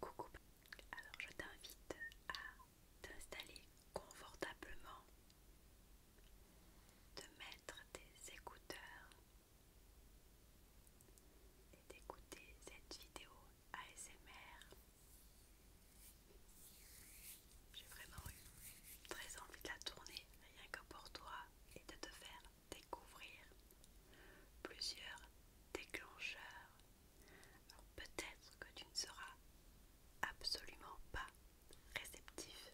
Coucou, alors je t'invite à t'installer confortablement, de mettre tes écouteurs et d'écouter cette vidéo ASMR. J'ai vraiment eu très envie de la tourner rien que pour toi et de te faire découvrir plusieurs déclencheurs. Alors peut-être que tu ne seras absolument pas réceptif,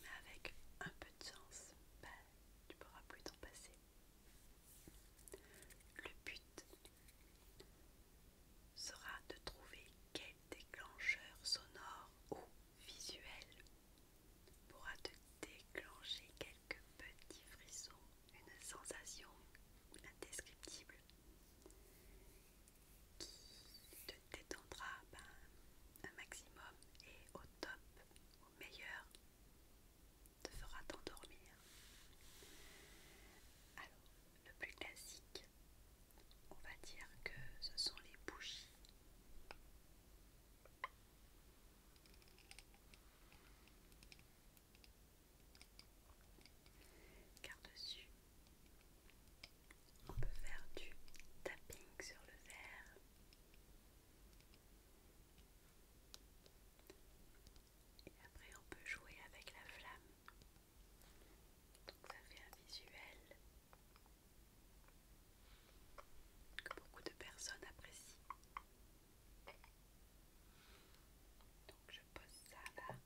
mais avec un peu de sens, bah, tu pourras plus t'en passer. Le but sera de trouver quel déclencheur sonore ou visuel pourra te déclencher quelques petits frissons, une sensation indescriptible qui te détendra ben, un maximum et au top, au meilleur, te fera t'endormir. Alors, le plus classique, on va dire que ce sont les bougies car dessus, on peut faire du tapping sur le verre. Et après, on peut jouer avec la flamme. Donc ça fait un visuel que beaucoup de personnes apprécient. Donc je pose ça là.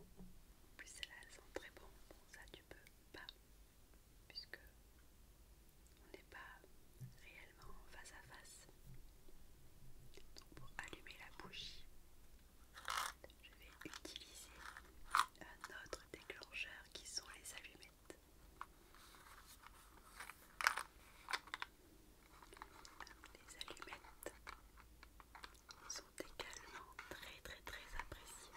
En plus celle là elles sont très bon. ça tu peux pas puisque on n'est pas réellement face à face. Donc pour allumer la bougie, je vais utiliser un autre déclencheur qui sont les allumés les allumettes sont également très très très appréciées.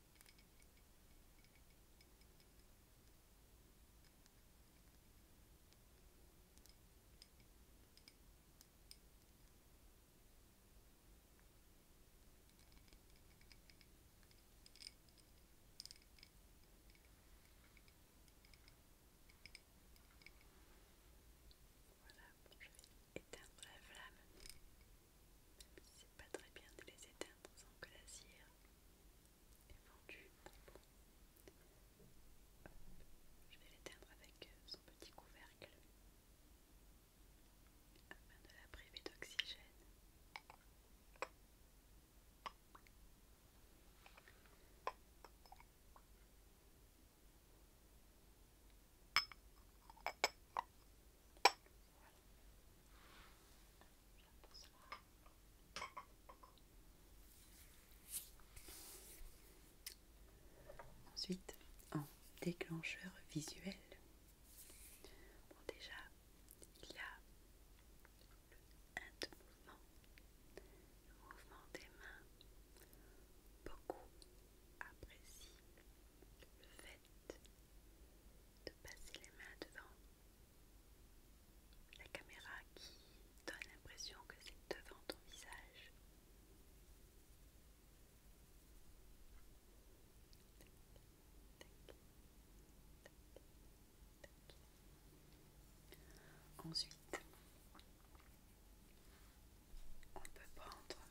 Voilà, je vais éteindre la flamme. Même si c'est pas très bien de les éteindre est Je vais l'éteindre avec euh, son petit couvercle afin de la priver d'oxygène. Ensuite, en déclencheur visuel, bon déjà, il y a le mouvement, le mouvement des mains, beaucoup apprécient le fait de passer les mains devant la caméra qui donne l'impression que c'est devant ton visage. Ensuite, on peut prendre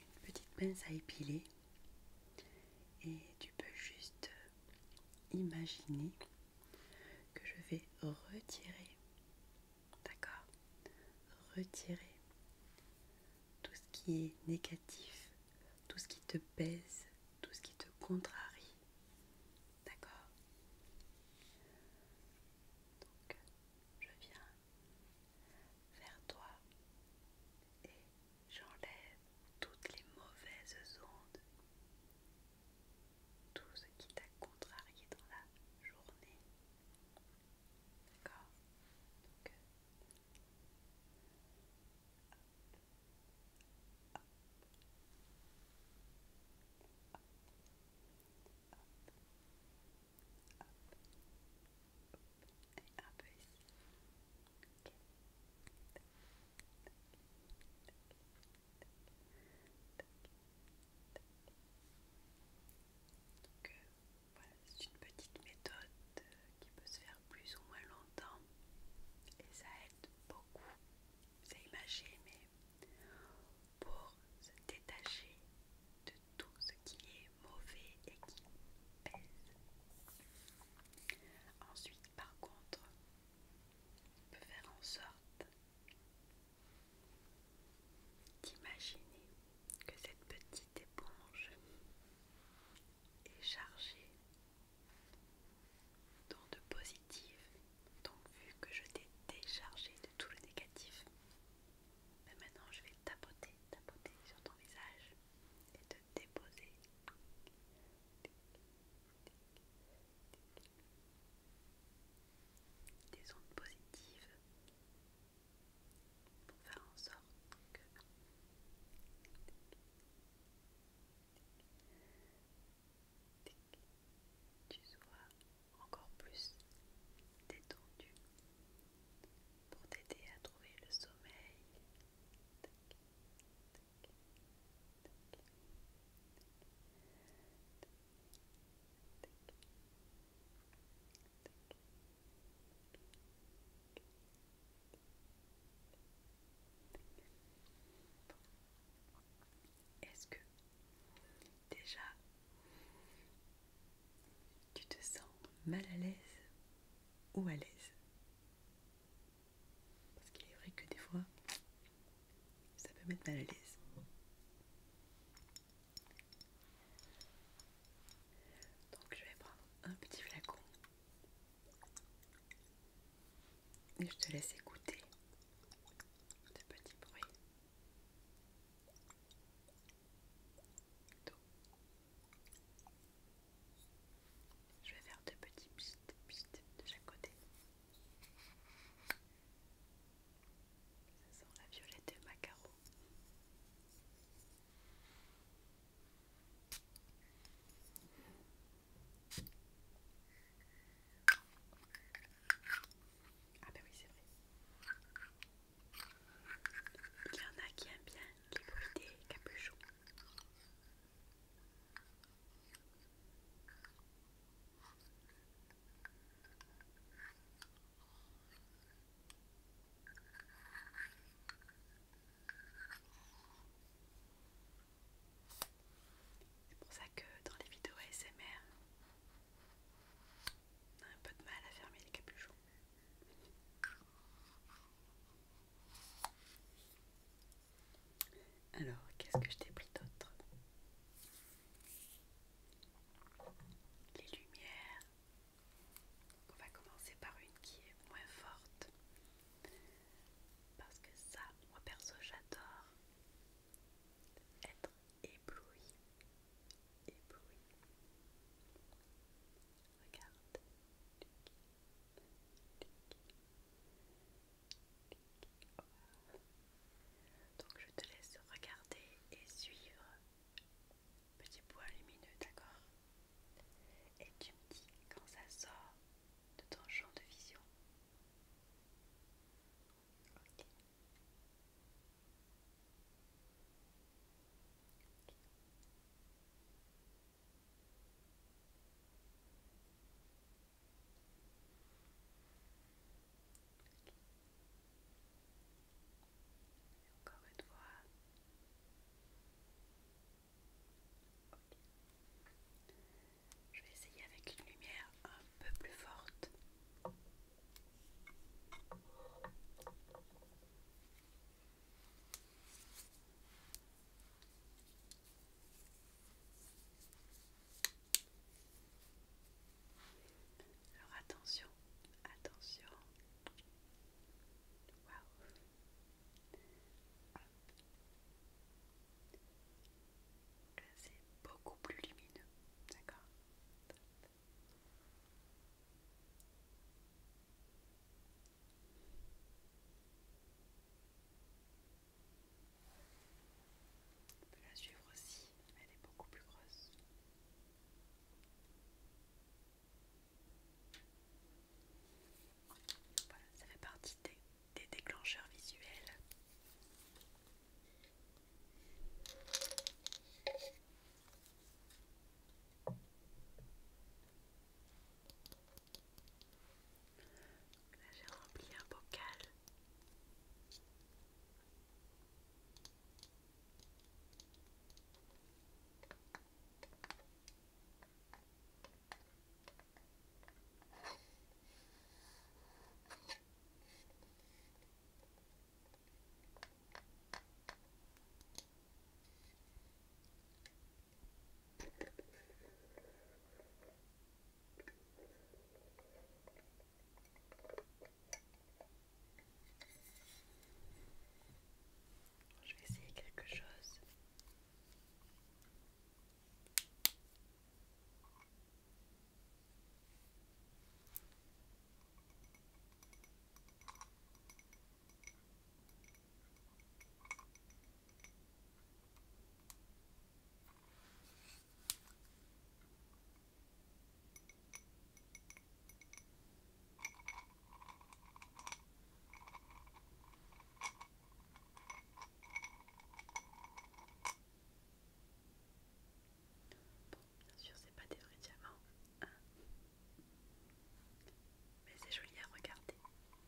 une petite pince à épiler et tu peux juste imaginer que je vais retirer, d'accord Retirer tout ce qui est négatif, tout ce qui te pèse, tout ce qui te contrarie, d'accord Donc, je viens vers toi et J'enlève toutes les mauvaises ondes, tout ce qui t'a contrarié dans la journée. D'accord et un peu voilà, c'est une petite méthode euh, qui peut se faire plus ou moins longtemps et ça aide beaucoup, c'est imagé, mais pour se détacher de tout ce qui est mauvais et qui pèse. Ensuite, par contre, on peut faire en sorte d'imaginer que cette petite éponge est chargée de positives. Donc, vu que je t'ai déchargé de tout le négatif, ben maintenant je vais tapoter, tapoter sur ton visage déposer des ondes positives pour faire en sorte que tu sois encore plus détendu pour t'aider à trouver le sommeil. Est-ce que déjà tu te sens mal à l'aise ou à l'aise parce qu'il est vrai que des fois, ça peut mettre mal à l'aise. Donc je vais prendre un petit flacon. Et je te laisse écouter ce petit bruit. Je vais faire deux petits pssst pssst de chaque côté. Ça sent la violette de macaro. Ah ben oui c'est vrai. Il y en a qui aiment bien les bruits des capuchons. C'est pour ça que dans les vidéos ASMR, on a un peu de mal à fermer les capuchons. Alors, qu'est-ce que je t'ai pris d'autre Les lumières. On va commencer par une qui est moins forte. Parce que ça, moi perso, j'adore être ébloui. Ébloui. Regarde. Donc je te laisse regarder et suivre petit point lumineux, d'accord Et tu me dis quand ça sort de ton champ de vision encore une fois. Je vais essayer avec une lumière un peu plus forte. Alors attention, attention. Waouh. c'est beaucoup plus lumineux, d'accord on peut la suivre aussi, elle est beaucoup plus grosse. Voilà, ça fait partie des déclencheurs visuels. Là j'ai rempli un bocal. Je vais essayer quelque chose bien sûr, c'est pas des vrais diamants, ah. mais c'est joli à regarder.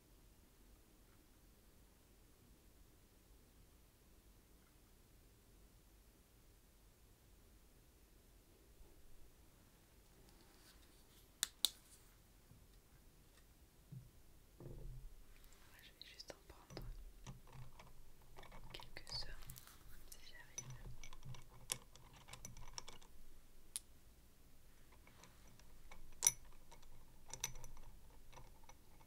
je vais juste en prendre quelques-uns si j'arrive.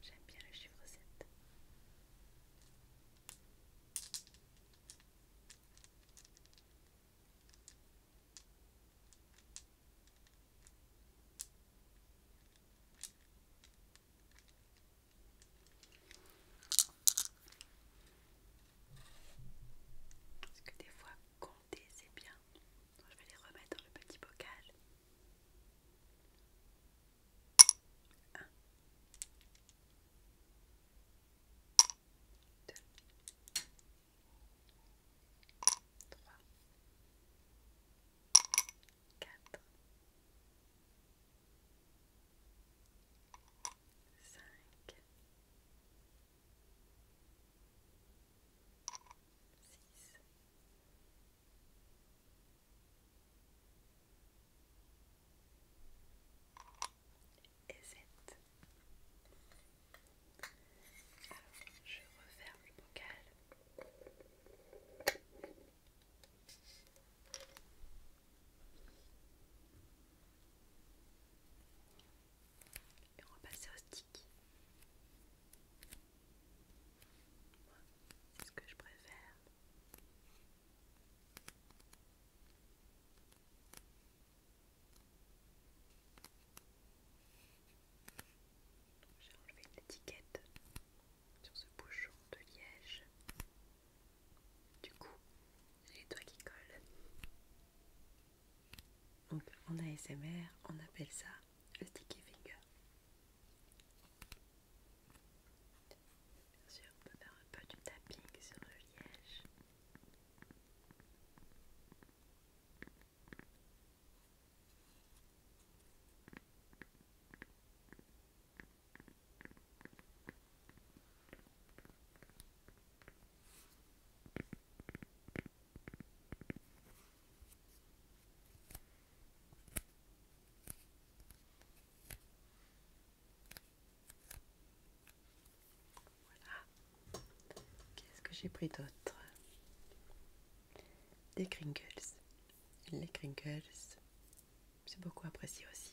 J'aime bien le chiffre 7. Parce que des fois, compter c'est bien. je vais les remettre dans le petit bocal. 1 2 3 4 5 6 et Alors, je referme le bocal. Et on va passer au stick c'est ce que je préfère. J'ai enlevé l'étiquette sur ce bouchon de liège. Du coup, j'ai les doigts qui collent. Donc en ASMR, on appelle ça le sticky finger. Bien on peut faire un peu du tapping sur le liège. Voilà. Qu'est-ce que j'ai pris d'autre Des crinkles. Les crinkles, c'est beaucoup apprécié aussi.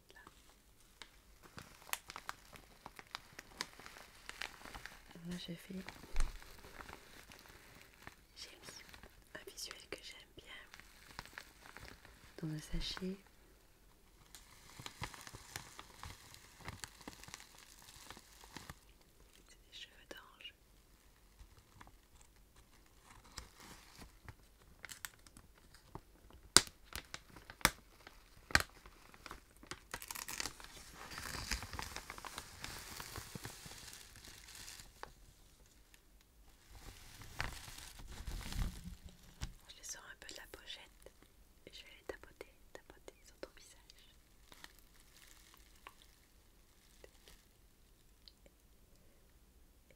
là. j'ai j'ai mis un visuel que j'aime bien dans le sachet c'est des cheveux d'ange je les sors un peu de la pochette et je vais les tapoter, tapoter sur ton visage.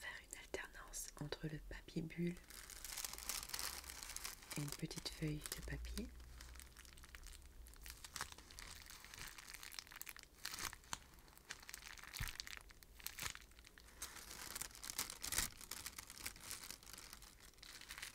faire une alternance entre le papier bulle et une petite feuille de papier.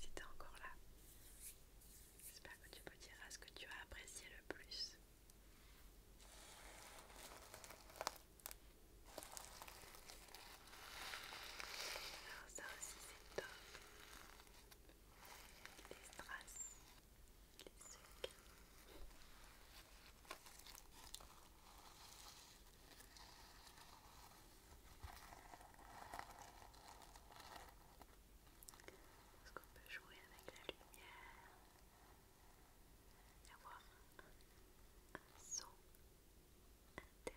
Si t'es encore là, j'espère que tu dire à ce que tu as apprécié le plus. Alors ça aussi c'est top. Les strass, les sucres. Est-ce qu'on peut jouer avec la lumière et avoir un, son intéressant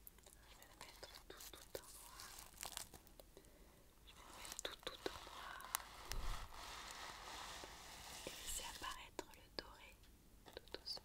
Je vais le mettre tout tout en noir. Je vais le mettre tout tout en noir. Et laisser apparaître le doré tout doucement. seul.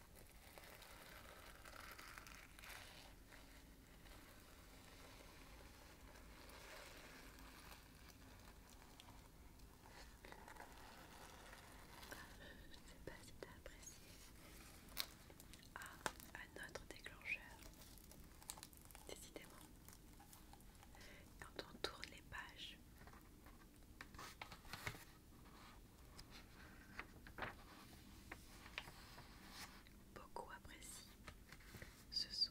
Je ne sais pas si tu as apprécié. un ah, autre déclencheur. Décidément. Quand on tourne les pages, Beaucoup apprécient ce son.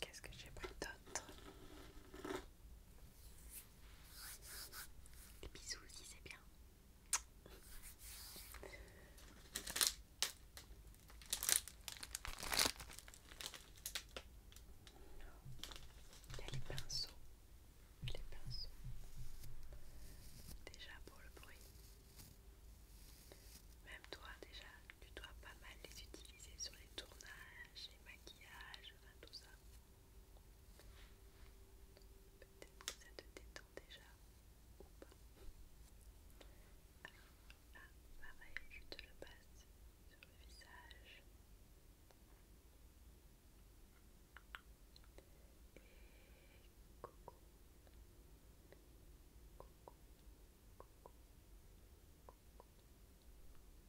qu'est-ce que j'ai pris d'autre Les bisous aussi, c'est bien. Il y a les pinceaux. Les pinceaux. Déjà pour le bruit. Même toi déjà, tu dois pas mal les utiliser sur les tournages les maquillages, enfin tout ça. Peut-être que ça te détend déjà ou pas. Alors, ah, pareil, je te le passe sur le visage. Et coucou. Coucou. Coucou. Coucou.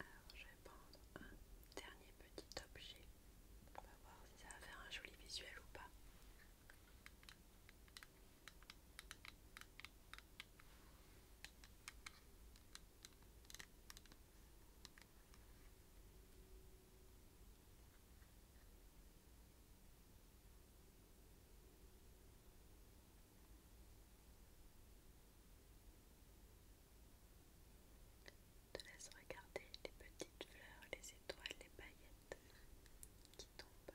Alors je vais prendre un dernier petit objet. pour voir si ça va faire un joli visuel ou pas. Te laisse regarder les petites fleurs, les étoiles, les paillettes qui tombent.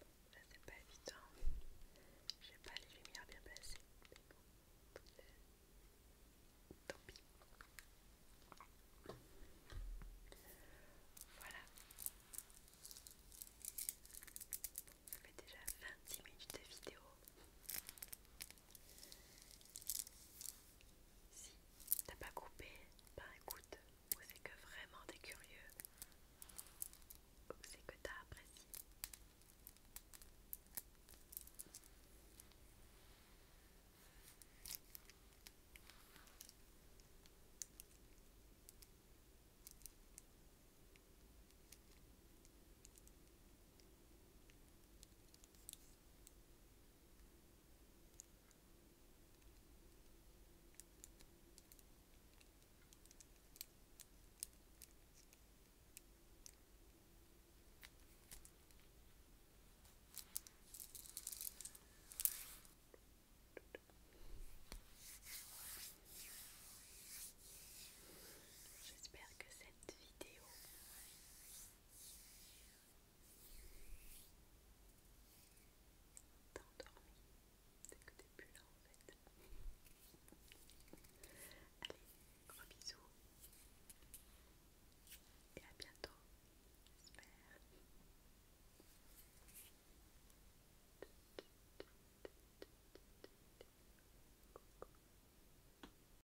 ça c'est pas évident, j'ai pas les lumières bien placées, mais bon, euh, tant pis. Voilà, ça fait déjà 20 minutes de vidéo. Si t'as pas coupé, ben écoute, ou c'est que vraiment t'es curieux, c'est que t'as apprécié. J'espère que cette vidéo endormi, c'est que t'es plus là en fait. Allez, gros bisous et à bientôt, j'espère.